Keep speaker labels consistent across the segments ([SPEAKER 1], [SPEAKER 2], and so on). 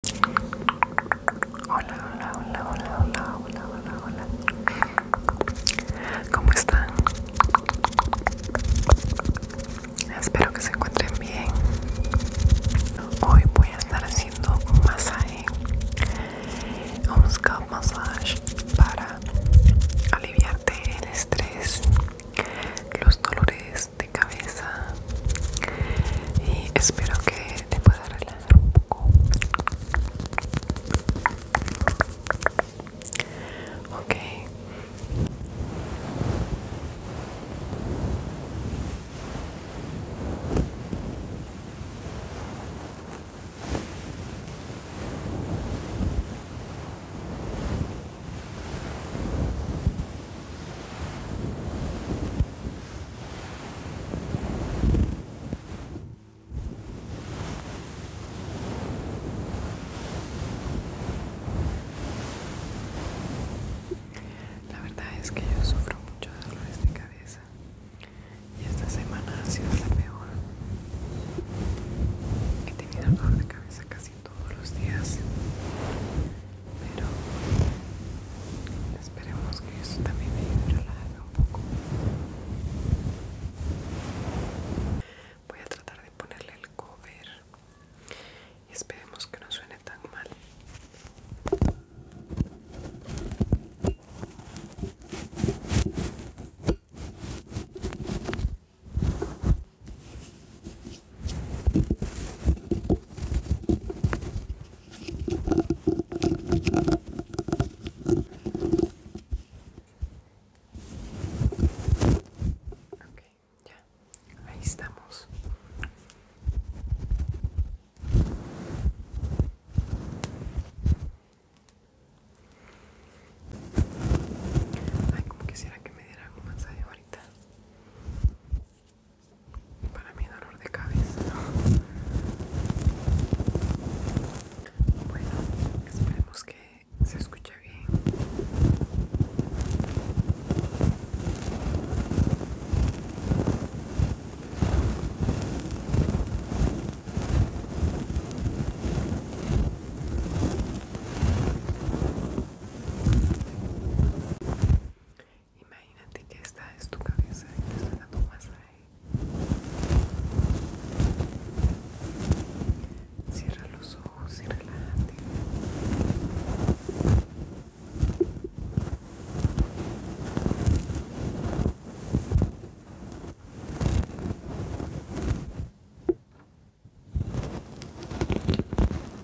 [SPEAKER 1] Hola, hola, hola, hola, hola, hola, hola, hola. ¿Cómo están? Espero que se encuentren bien. Hoy voy a estar haciendo un masaje, un scalp massage para aliviarte el estrés, los dolores de cabeza y espero que te pueda relajar un poco ok la verdad es que yo sufro mucho de dolores de cabeza y esta semana ha sido la peor. He tenido dolor de cabeza casi todos los días pero esperemos que eso también me ayude un poco voy a tratar de ponerle el cover y esperemos que no suene tan mal Ok, ya, ahí estamos. Ay, como quisiera que me diera un mensaje ahorita para mi dolor de cabeza. Bueno, esperemos que se escuche bien. Imagínate que esta es tu cabeza y te está dando más masaje. Cierra los ojos y relájate.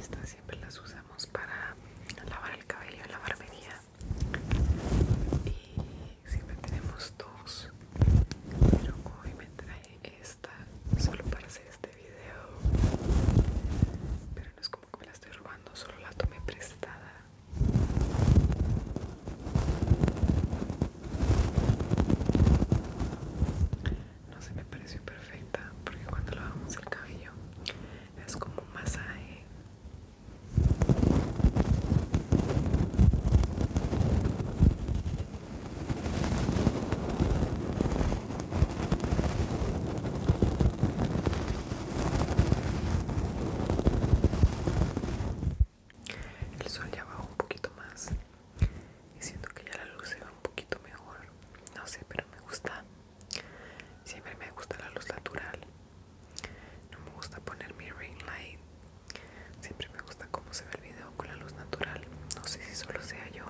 [SPEAKER 1] Estas siempre las usamos para lavar el cabello, y la siempre tenemos dos pero hoy me trae esta solo para hacer este video pero no es como que me la estoy robando solo la tomé prestada no se me pareció perfecta porque cuando lavamos el cabello es como un masaje el sol ya bajó un poquito más y siento que ya la luz se ve un poquito mejor. No sé, pero me gusta. Siempre me gusta la luz natural. No me gusta poner mi ring light Siempre me gusta cómo se ve el video con la luz natural. No sé si solo sea yo.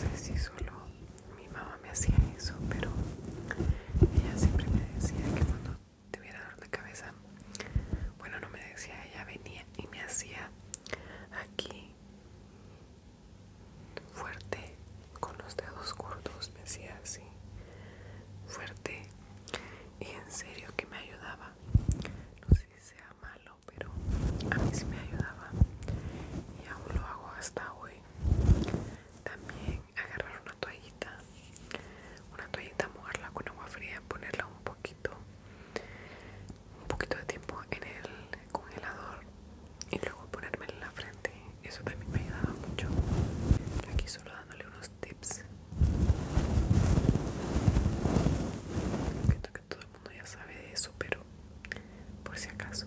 [SPEAKER 1] No sé si solo mi mamá me hacía eso, pero ella siempre me decía que cuando tuviera dolor de cabeza, bueno, no me decía, ella venía y me hacía aquí fuerte con los dedos gordos, me hacía así fuerte y en serio que me ayudaba. No sé si sea malo, pero a mí sí me ayudaba y aún lo hago hasta hoy. También agarrar una toallita, una toallita mojarla con agua fría, ponerla un poquito, un poquito de tiempo en el congelador y luego ponérmela en la frente. Eso también me ayudaba mucho. Aquí solo dándole unos tips. Creo que todo el mundo ya sabe de eso, pero por si acaso.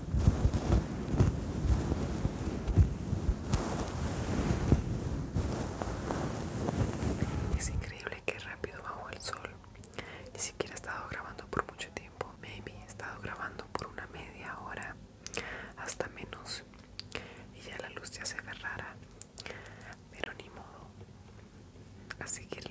[SPEAKER 1] Es increíble que rápido bajo el sol. Ni siquiera he estado grabando por mucho tiempo. Maybe he estado grabando por una media hora, hasta menos. Y ya la luz ya se ve rara. Pero ni modo. A seguirle.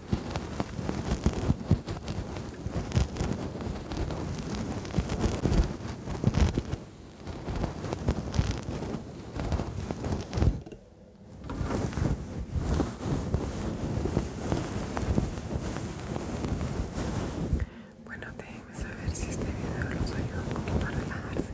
[SPEAKER 1] Bueno, déjenme saber si este video los ayuda un poquito a relajarse.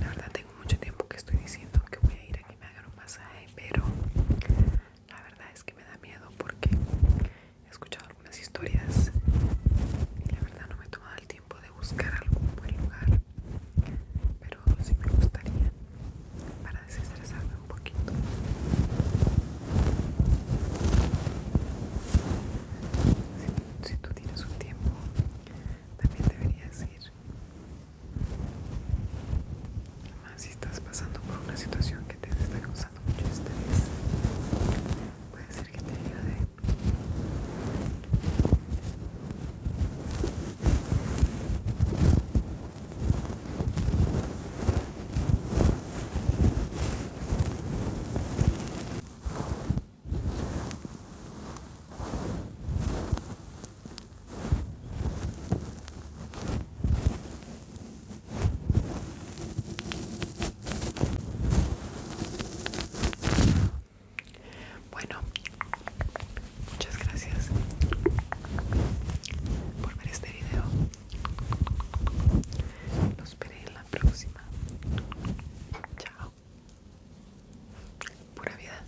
[SPEAKER 1] La verdad tengo mucho tiempo que estoy diciendo que voy a ir a que me hagan un masaje, pero la verdad es que me da miedo porque he escuchado algunas historias y la verdad no me he tomado el tiempo de buscar algún buen lugar, pero sí me gustaría para desestresarme un poquito. Si, tú tienes un tiempo, también deberías ir Además, si estás pasando por una situación que te está causando mucho estrés, puede ser que te ayude. Bueno, muchas gracias por ver este video. Los veré en la próxima. Chao. Pura vida.